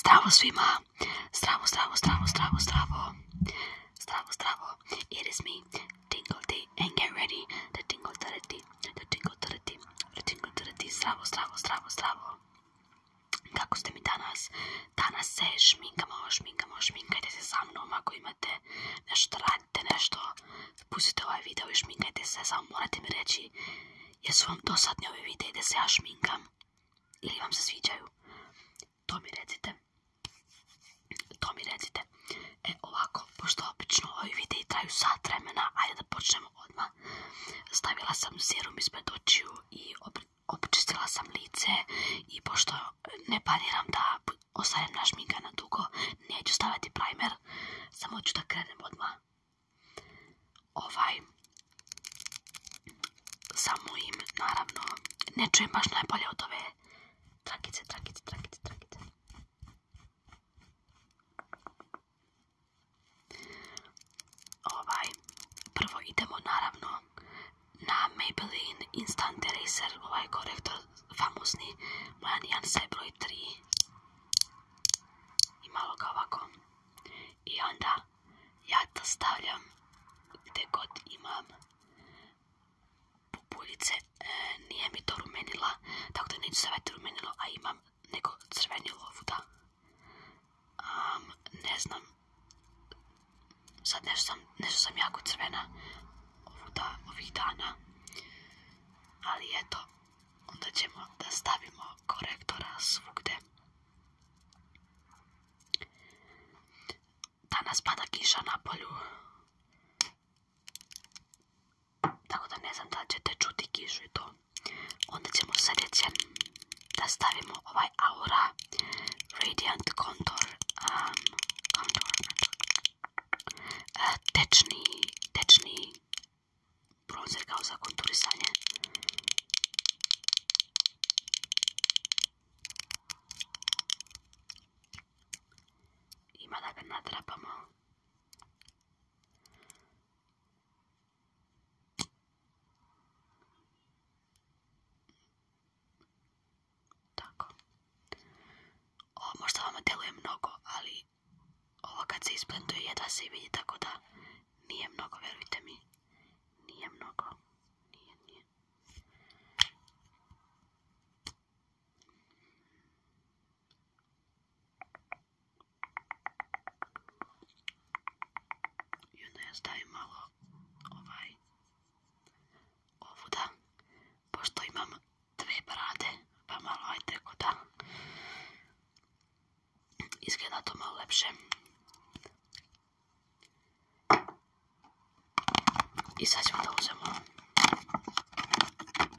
Zdravo svima! Zdravo, zdravo, zdravo, zdravo, zdravo! Zdravo, zdravo! It is me, Tingle and get ready to tingle to the to tingle the tingle zdravo, zdravo, zdravo, zdravo! Kako ste mi danas? Danas se šminkamo, šminkamo, šminkajte se sa mnom ako imate nešto da radite, nešto. Pustite ovaj video i šminkajte se, samo morate mi reći jesu vam dosadni ovi videi da se ja šminkam ili vam se sviđaju, to mi recite. To mi recite. E ovako, pošto obično ovi videi traju sat vremena, ajde da počnemo odmah. Stavila sam serum ispred očiju i očistila sam lice i pošto ne pariram da ostanem našminka na dugo, neću staviti primer, samo ću da krenem odmah. Ovaj, samo im, naravno, ne čujem baš najbolje od ove trakice, trakice, trakice, trakice. Ovaj, prvo idemo naravno na Maybelline Instant Eraser, ovaj korektor famousni, Mojanijan se broj 3. I malo ga ovako. I onda ja to stavljam gdje god imam pupuljice, e, nije mi to rumenila, tako da neću savjeti rumenilo, a imam neko crvenilo ovdje ne znam, sad nešto sam, jako crvena ovih dana, ali eto, onda ćemo da stavimo korektora svugde. Danas pada kiša na polju. Tako da ne znam da ćete čuti kišu i to. Onda ćemo se reći da stavimo ovaj Aura Radiant Contour. Um, contour. Uh, tečni, tečni bronzer kao konturisanje. Ima da ga Tako. Ovo možda vama deluje mnogo, ali ovo kad se isplentuje jedva se vidi, tako da nije mnogo, verujte mi. nije niin, mnogo, nije, niin, nije. Niin. I onda ja stavim malo ovaj, ovu da, pošto imam dve brade, pa malo ajde tako da Izgleda to malo lepše. I sad ćemo da uzemo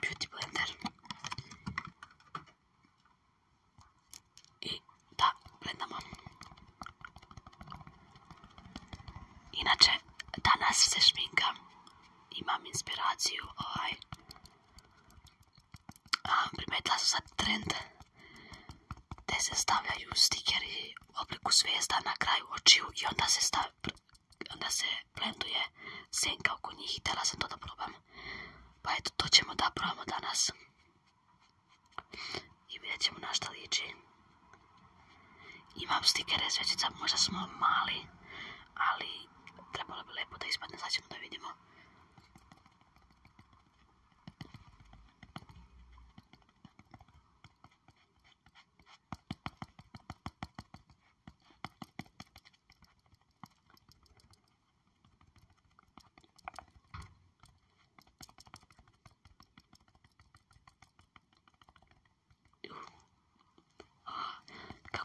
Beauty Blender. I da, blendamo. Inače, danas se šminka. Imam inspiraciju, ovaj. Primetla primetila sam sad trend te se stavljaju stikeri u obliku zvijezda na kraju očiju i onda se, onda se blenduje senka oko njih i tela sam to da probam. Pa eto, to ćemo da probamo danas. I vidjet ćemo na šta liči. Imam stikere svećica, možda smo mali, ali trebalo bi lepo da ispadne, sad ćemo da vidimo. Kako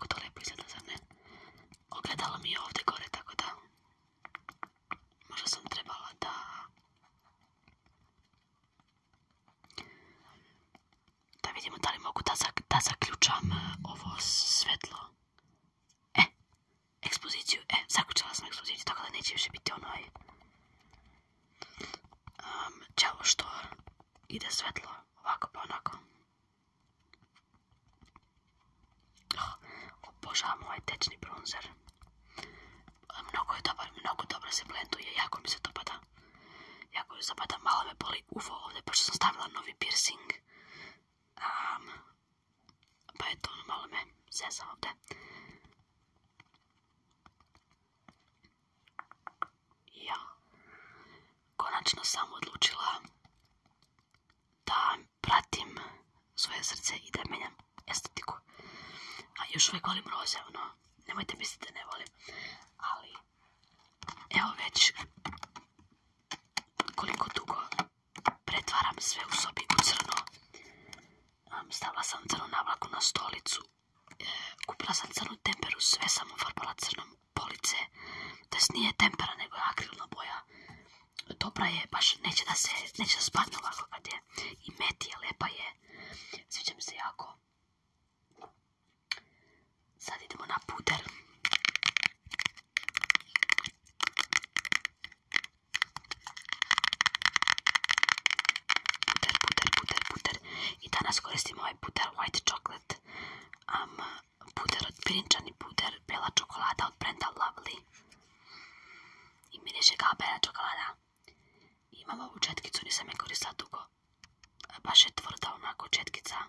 to lepo izgleda za mene. Ogledalo mi je ovdje gore, tako da Možda sam trebala da... vidimo da li mogu da, zaključam e, ovo svetlo. E, ekspoziciju. E, zaključala sam ekspoziciju, tako da neće više biti onaj... Um, čelo što ide svetlo, ovako pa onako. Ah, obožavam ovaj tečni bronzer. Mnogo je dobar, mnogo dobro se blenduje, jako mi se to pada. Jako se pada, malo me boli uvo ovdje, pošto sam stavila novi piercing. pa je to, ono, malo me zezam Ja, konačno sam odlučila da pratim svoje srce i da estetiku. A još uvijek volim roze, ono, nemojte misliti da ne volim. Ali, evo već koliko dugo pretvaram sve u sobi u crno. Stavila sam crnu navlaku na stolicu, e, kupila sam crnu temperu, sve samo ufarbala crnom police. To nije tempera, nego je akrilna boja. Dobra je, baš neće da se, neće da spadne ovako kad je i met je, lepa je. Sviđa se jako. Sad idemo na puder. Puder, puder, puder, puder. I danas koristim ovaj puder White Chocolate. am puder od pirinčani puder, bela čokolada od brenda Lovely. I miriše kao bela čokolada. Имала у четкицу, не се ја користила дуго. Баш е тврда онако четкица.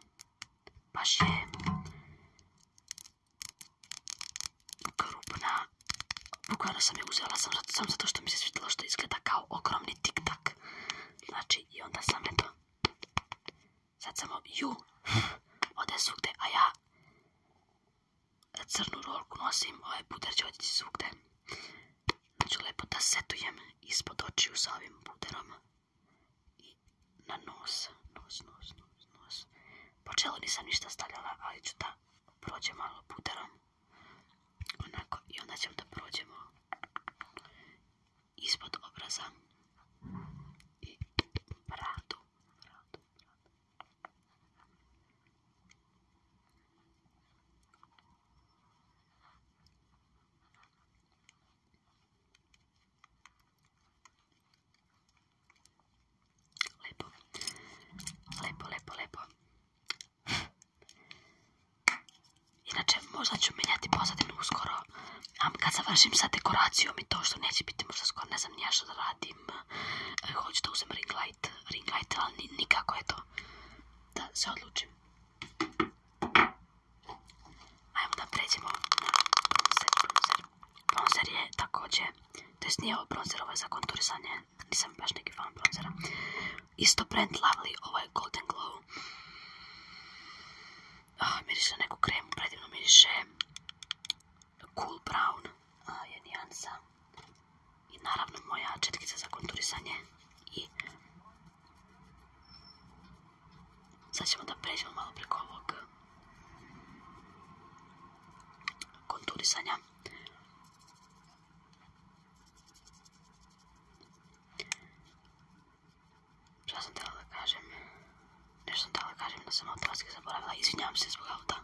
Баш е крупна. Буквално сам ја узела сам, сам затоа што ми се свидела што изгледа као огромни тик-так. Значи, и онда сам ето. Сад само ју, оде свугде, а ја E, crnu rolku nosim, ovaj puder će otići svugde. Znači lijepo da setujem ispod očiju sa ovim puderom. I na nos, nos, nos, nos, nos. nisam ništa stavljala, ali ću da prođem malo puderom. Onako, i onda ćemo da prođemo ispod obraza. I radu Lepo, lepo, lepo, lepo. Inače, možda ću miljati pozadinu uskoro. Kad završim sa dekoracijom i to što neće biti možda skoro, ne znam nija što da radim. A e, hoću da uzem ring light, ring light, ali nikako je to. Da se odlučim. Ajmo da pređemo na bronzer, bronzer. Bronzer je također, to je snijevo bronzer, ovo je za konturisanje, nisam baš neki fan bronzera. Isto brand Lovely, ovo je Golden Glow. Ah, miriše neku kremu, predivno miriše Cool Brown, a je nijansa i naravno moja četkica za konturisanje i sad ćemo da pređemo malo preko ovog konturisanja šta sam htjela da kažem nešto sam htjela da kažem da sam automatski zaboravila izvinjavam se zbog auta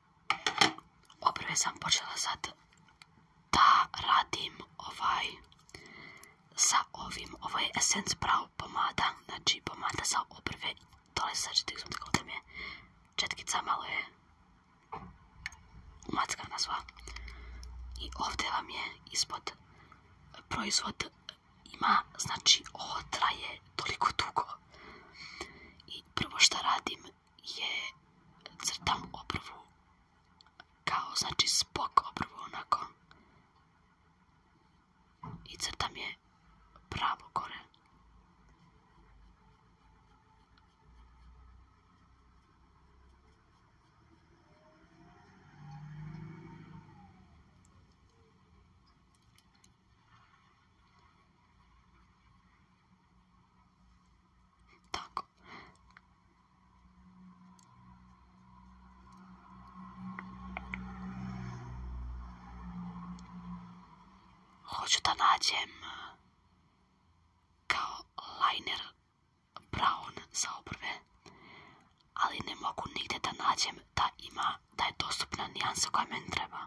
Obrve sam počela sad da radim ovaj sa ovim, ovo je Essence Brow pomada, znači pomada za obrve, dole sad ćete izumiti je četkica, malo je umackana sva. I ovdje vam je ispod proizvod ima, znači otra je toliko dugo. I prvo što radim je crtam u obrvu kao znači spok obrvu onako i crtam je pravo gore Tako. Hoću da nađem uh, kao liner brown za obrve, ali ne mogu nigdje da nađem da ima, da je dostupna nijansa koja meni treba.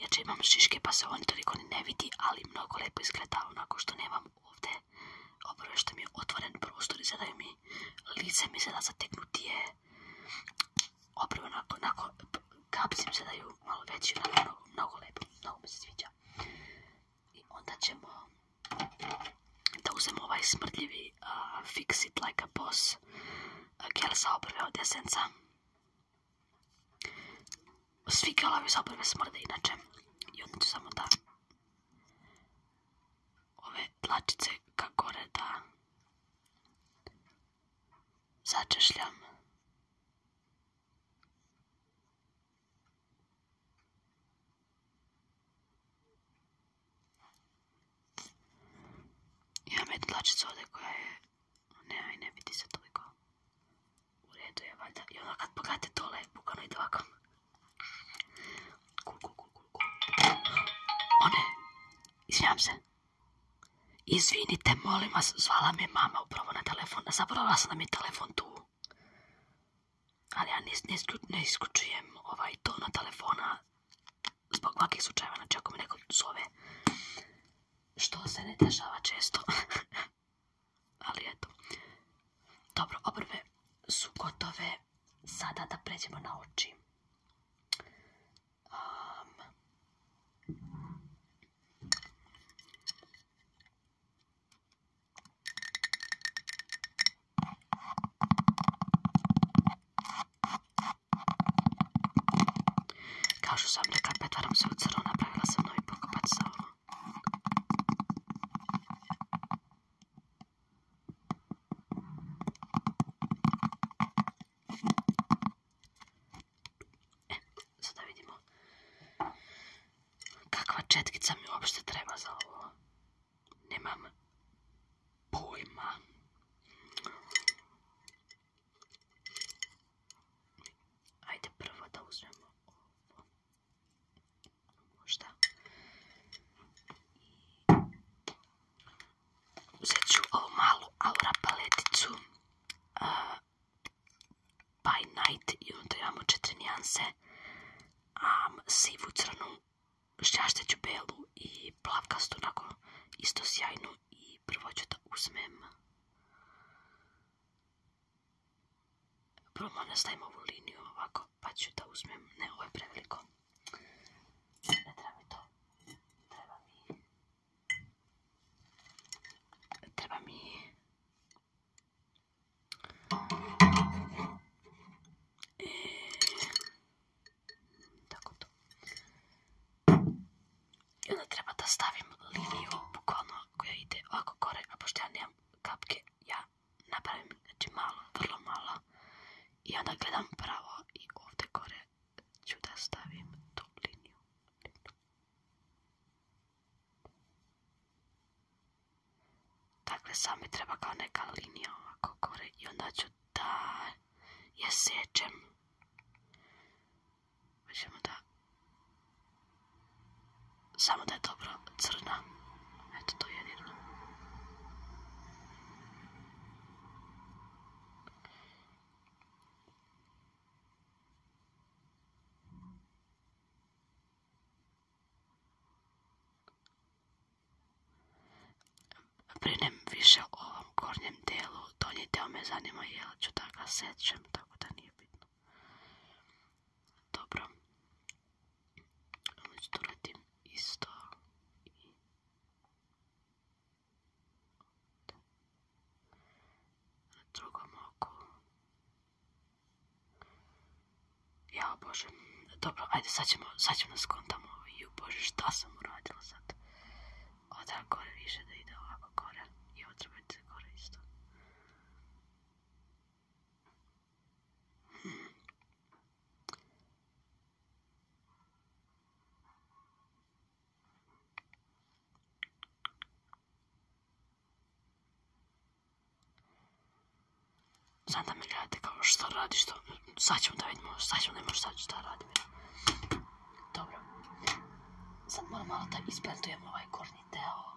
Jer imam šiške pa se on toliko ne vidi, ali mnogo lepo izgleda onako što nemam ovdje. obrve što mi je otvoren prostor i sada mi lice mi sada zateknutije. Opravo onako, onako kapsim se da ju malo veći, mnogo, mnogo lepo, mnogo mi se sviđa. I onda ćemo da uzemo ovaj smrtljivi Fix It Like a Boss gel sa oprve od esenca. Svi galavi zapravo smrde inače. I onda ću samo da ove tlačice ka gore da začešljam. Imam jednu tlačicu ovdje koja je... Ne, aj ne vidi se toliko. U je valjda. I onda kad pogledate tole, bukano i One Kuk, se. Izvinite, molim vas, zvala me mama upravo na telefon. Zaboravila sam da mi je telefon tu. Ali ja ne isključujem ovaj tona telefona zbog ovakvih slučajeva. Znači ako me neko zove, što se ne dešava često. ali eto. Dobro, obrve su gotove. Sada da pređemo na oči. Um. Kao što sam rekla, petvaram se u crno, napravila sam novi pokopac za E, sada vidimo kakva četkica mi uopšte treba za ovo. Nemam pojma. Ajde prvo da uzmemo ovo. Možda. Uzet ću ovu malu aura paleticu. Uh, by night. I onda imamo četiri nijanse. sivu, crnu, šćašteću belu i plavkastu. Onako isto sjajnu. I prvo ću da uzmem Prvo ne stavim ovu liniju ovako, pa ću da uzmem, ne ovo je preveliko. treba mi e, treba da stavim liniju, bukvalno koja ide ovako gore, a pošto ja nemam kapke, ja napravim, znači malo, vrlo malo i onda gledam pravo i ovdje kore ću da stavim tu liniju. Dakle, sami mi treba kao neka linija ovako kore i onda ću da je sečem da... Samo da je dobro crna. Eto to jedino. Brinem više o ovom gornjem delu, donji deo me zanima je ću da ga tako da nije bitno. Dobro. Ono ću to radim isto. I... Na drugom oku. Ja bože. Dobro, ajde sad ćemo, sad ćemo skontamo. Ovaj, ju bože, šta sam uradila sad? Oda gore više da ide ovako gore. I ovo treba isto. Znam da me gledate kao šta radiš, to... sad ćemo da vidimo, sad ćemo da imamo šta, šta radim ja. Dobro. Sad moram malo da isplantujem ovaj gornji deo.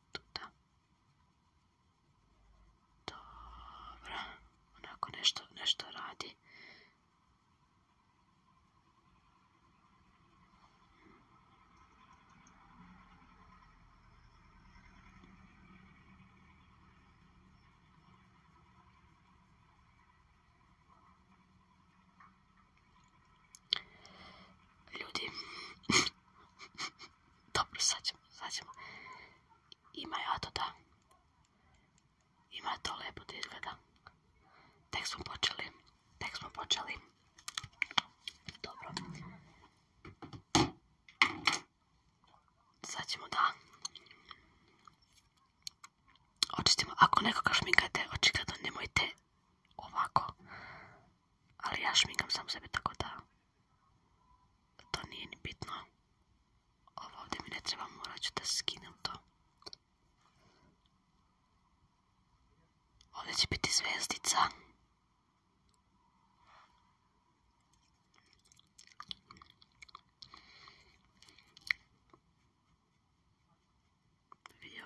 tuda. Dobro. Onako nešto, nešto radi. Ljudi, dobro sad ćemo, sad ćemo. Ima ja to da, ima to lepo da izgleda. Tek smo počeli, tek smo počeli. Dobro. Sad ćemo da očistimo. Ako nekoga šminkate, očigledno nemojte ovako ali ja migam sam sebe tako da to nije ni bitno. Ovo ovdje mi ne treba, morat ću da skinem to. Ovdje će biti zvezdica. Vidio.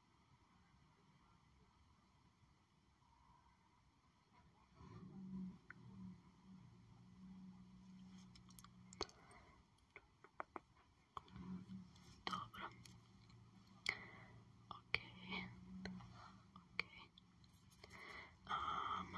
Dobra. Okej. Okay. Okej. Okay. Um.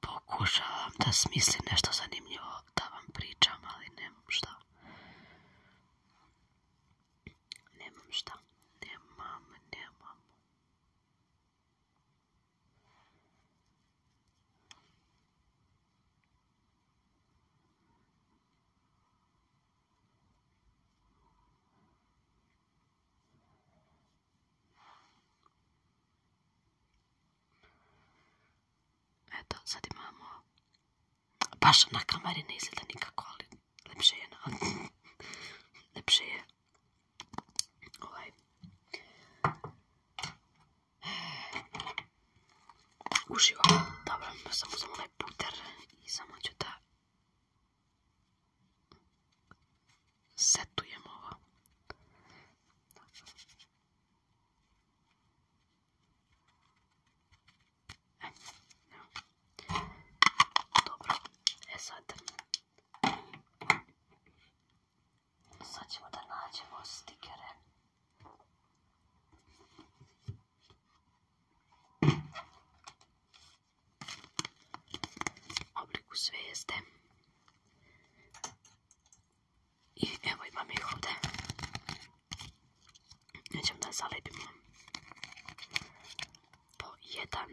Pokušavam da smislim nešto zanimljivo da vam pričam, ali nemam šta. Nemam šta. Nemam, nemam. Eto, sad imamo baš na kameri ne izgleda nikako, ali lepše je lepše je ovaj uživam. Dobro, pa sam uzmem onaj puter i samo ću da setujem ovo. E, no. Dobro, e sad Sad ćemo da nađemo stikere. Obliku zvijezde. I evo imam ih ovde, ovdje. Nećemo da zalepimo po jedan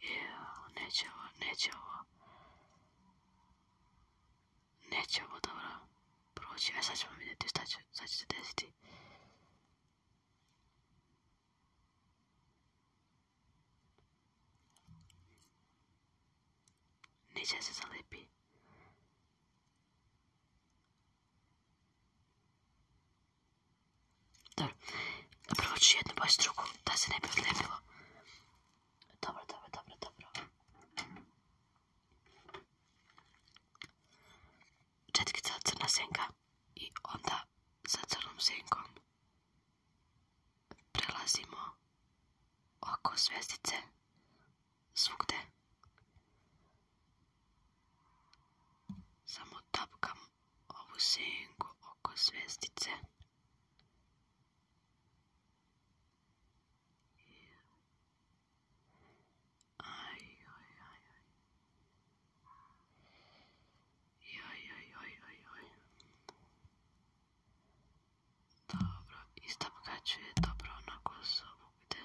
Evo, neće ovo, neće ovo. Neće ovo dobro proći. E sad ćemo vidjeti šta će, šta će se desiti. Neće se zalipi. Da. Prvo ću jednu s drugom, da se ne bi odlepilo. Dobro, dobro, dobro, dobro. Četkica crna senka i onda sa crnom senkom prelazimo oko zvezdice. svugde. Samo tapkam ovu senku oko zvijezdice. Aj, aj, aj, aj. Dobro, istapkaću je dobro onako svugde.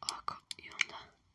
Ovako i onda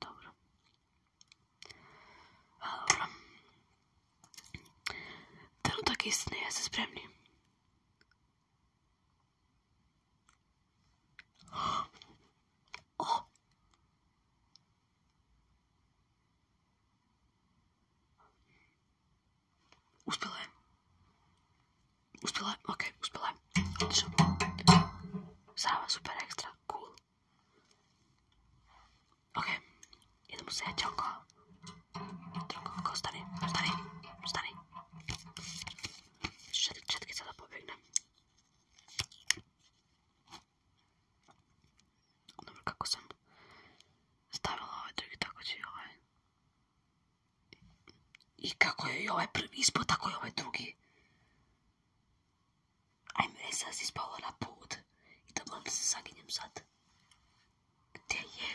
Dobro. A dobro. Trenutak istine, jeste spremni? O! Oh. Uspjela je. Uspjela je, okej, okay, uspjela je. Odlično. Sava, super ekstra, cool. Ok, idemo sljedeće oko. Drugo oko, stani, stani, stani. Čet, četkica da pobjegne. Dobro, kako sam stavila ovaj drugi, tako će i ovaj. I kako je i ovaj prvi ispod, tako je i ovaj drugi. Ajme, ja e, si spala na put. i da moram da se zaginjem sad. Gdje je?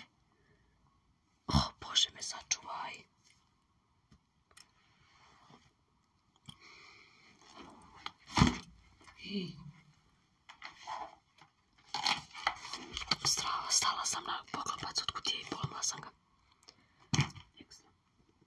O, oh, Bože me sačuvaj. Strava, stala sam na poklopac od kutije i polomila sam ga. Ekstra.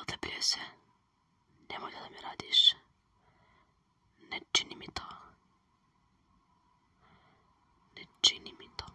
Odepljuje se. Nemoj da mi radiš. Ne čini mi to. Ne čini mi to.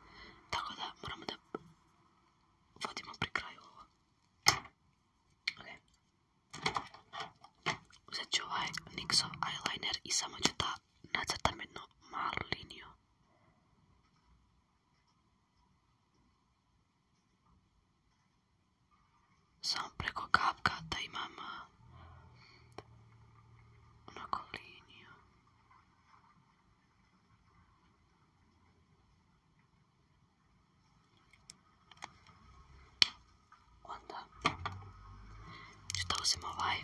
Tako da moramo da vodimo pri kraju ovo. Okay. Uzet ovaj eyeliner i samo ću da nacrtam jednu malu liniju. Samo preko kapka da imam onako liniju. Onda ću da uzim ovaj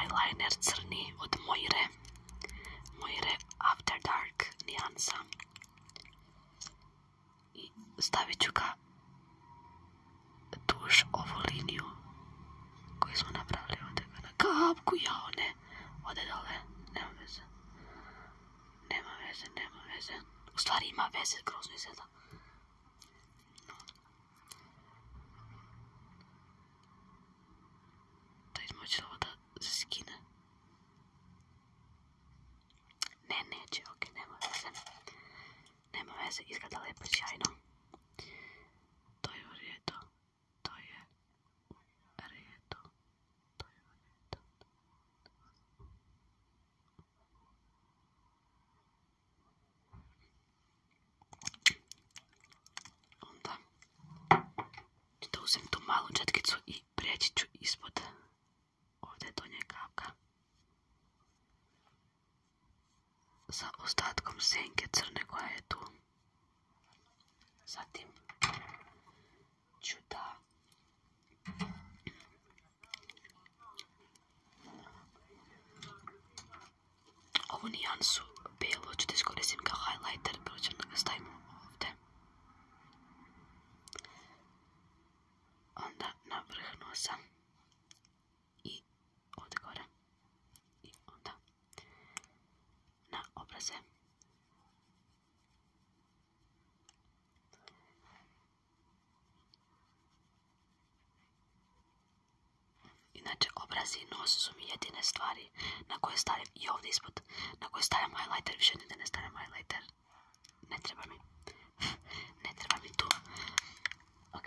eyeliner crni od Moire. Moire After Dark nijansa. I stavit ću ga duž ovo liniju koju smo napravili ovdje na kapku, jao ne, ode dole, nema veze, nema veze, nema veze, u stvari ima veze, grozno izgleda. No. Da izmoći ovo da se skine. Ne, neće, ok, nema veze. Nema veze, izgleda lepo, sjajno. To je u redu. To je u redu. To je u redu. Onda ću da uzem tu malu četkicu i preći ću ispod ovdje donje kapka sa ostatkom senke crne koja je tu. Zatim ću da ovu nijansu bijelu ću da iskoristim kao highlighter, prvo ću da ga stavim ovdje. Onda na vrh nosa i ovdje gore i onda na obraze. Inače, obraz i nos su mi jedine stvari na koje stavim i ovdje ispod. Na koje stavim highlighter, više nigdje ne stavim highlighter. Ne treba mi. ne treba mi tu. Ok.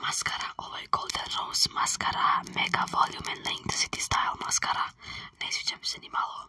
Mascara, ovaj oh Golden Rose mascara, Mega Volume and Length City Style mascara. Ne sviđa mi se ni malo.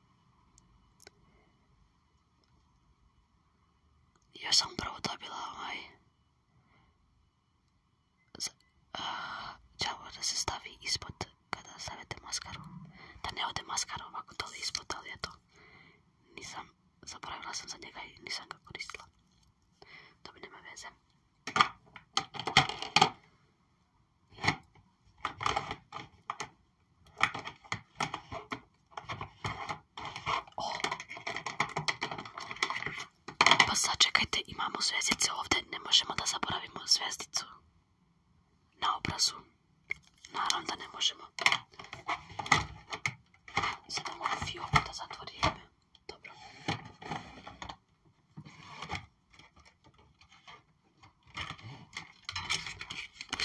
Ja sam upravo dobila ovaj čavo da se stavi ispod kada stavite maskaru. Da ne ode maskara ovako dole ispod, ali eto, nisam, zaboravila sam za njega i nisam ga koristila. To bi nema veze. O. Pa sad čekajte, imamo zvjezdice ovdje, ne možemo da zaboravimo zvjezdicu na obrazu. Naravno da ne možemo. Sada mogu fioku da zatvori Dobro.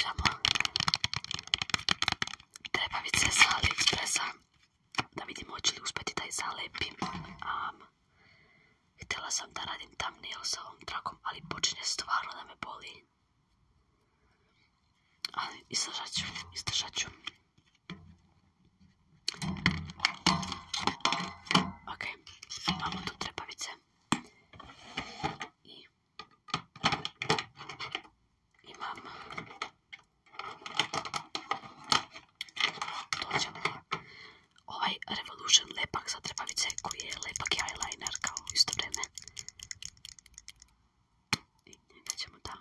Žaba. Treba Da vidimo hoće uspjeti da htjela sam da radim thumbnail ovom trakom, ali počinje stvarno da me boli. Ok, imamo tu trepavice. I imam ovaj Revolution lepak za trepavice koji je lepak eyeliner kao isto vrijeme. I njega ćemo da...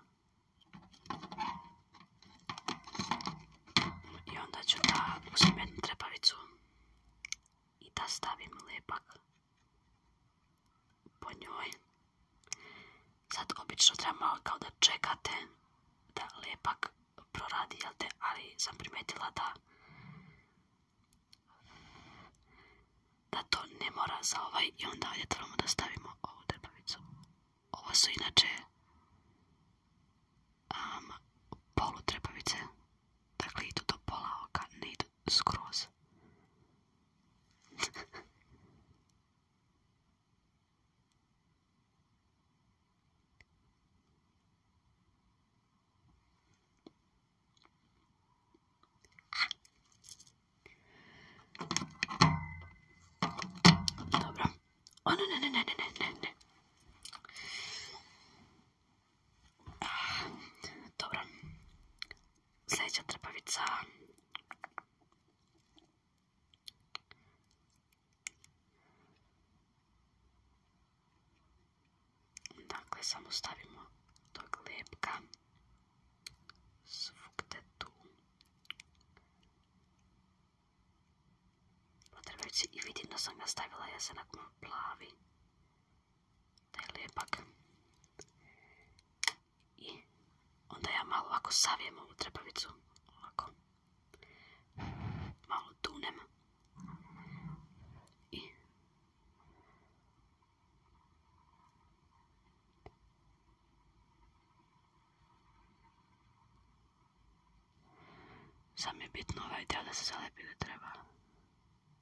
I onda ću da uzim jednu trepavicu i da stavim lepak po njoj. Sad obično treba kao da čekate da lepak proradi, jel ali sam primetila da da to ne mora za ovaj i onda ovdje trebamo da stavimo ovu drbavicu. Ovo su inače polu trepavice Takhle jí to pola oka, nejdu skroz. Dobro. O ne, ne, ne, ne, ne, ne, ne. Dobro. Sljedeća trpavica. Dakle, samo stavimo tog lepka. Svugde tu. Potrebajući i vidim da sam ga stavila jesenak plavi taj lijepak. I onda ja malo ovako savijem ovu trepavicu, ovako, malo tunem. I Sam je bitno ovaj dio da se zalepi da treba.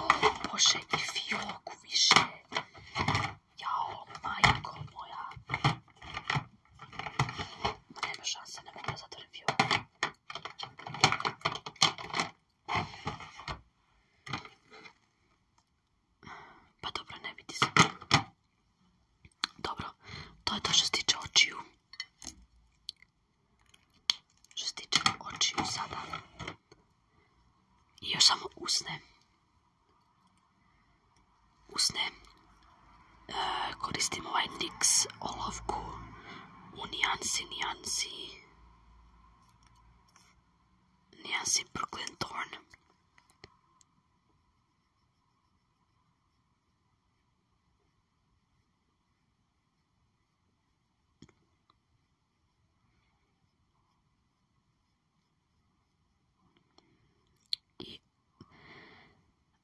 O Bože, i fioku više. Jao, majko moja. Nema šanse, ne mogu da zatvorim fioku. Pa dobro, ne vidi se. Dobro, to je to što se tiče očiju. Što se tiče očiju sada. I još samo usne. Usne. E, koristim ovaj NYX olovku u nijansi, nijansi. Nijansi Brooklyn Thorn.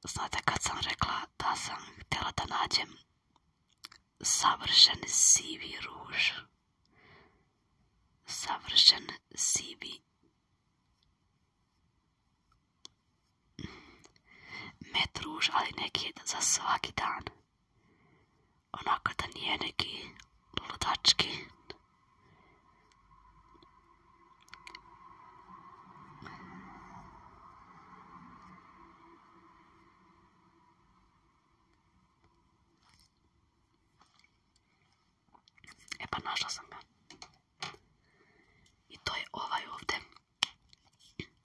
I znate kad sam rekla da sam htjela da nađem savršen sivi ruž. Savršen sivi met ruž, ali neki za svaki dan onako da nije neki ludački. E pa našla sam ga. I to je ovaj ovdje.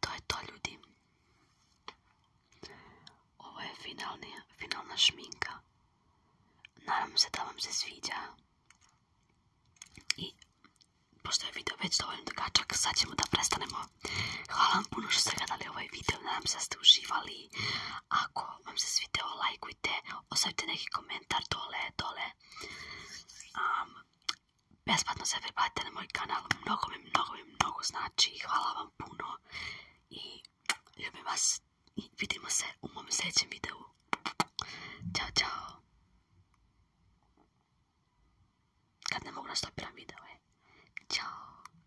to je to ljudi. Ovo je finalni, finalna šminka. Nadam se da vam se sviđa. I pošto je video već dovoljno dugačak, sad ćemo da prestanemo Hvala vam puno što ste gledali ovaj video, nadam se da ste uživali. Ako vam se svidio lajkujte, ostavite neki komentar dole, dole. besplatno se priplatite na moj kanal, mnogo mi, mnogo mi, mnogo znači. Hvala vam puno i ljubim vas i vidimo se u mom sljedećem videu. Ćao, čao. Kad ne mogu nastopiram video, e. Ćao.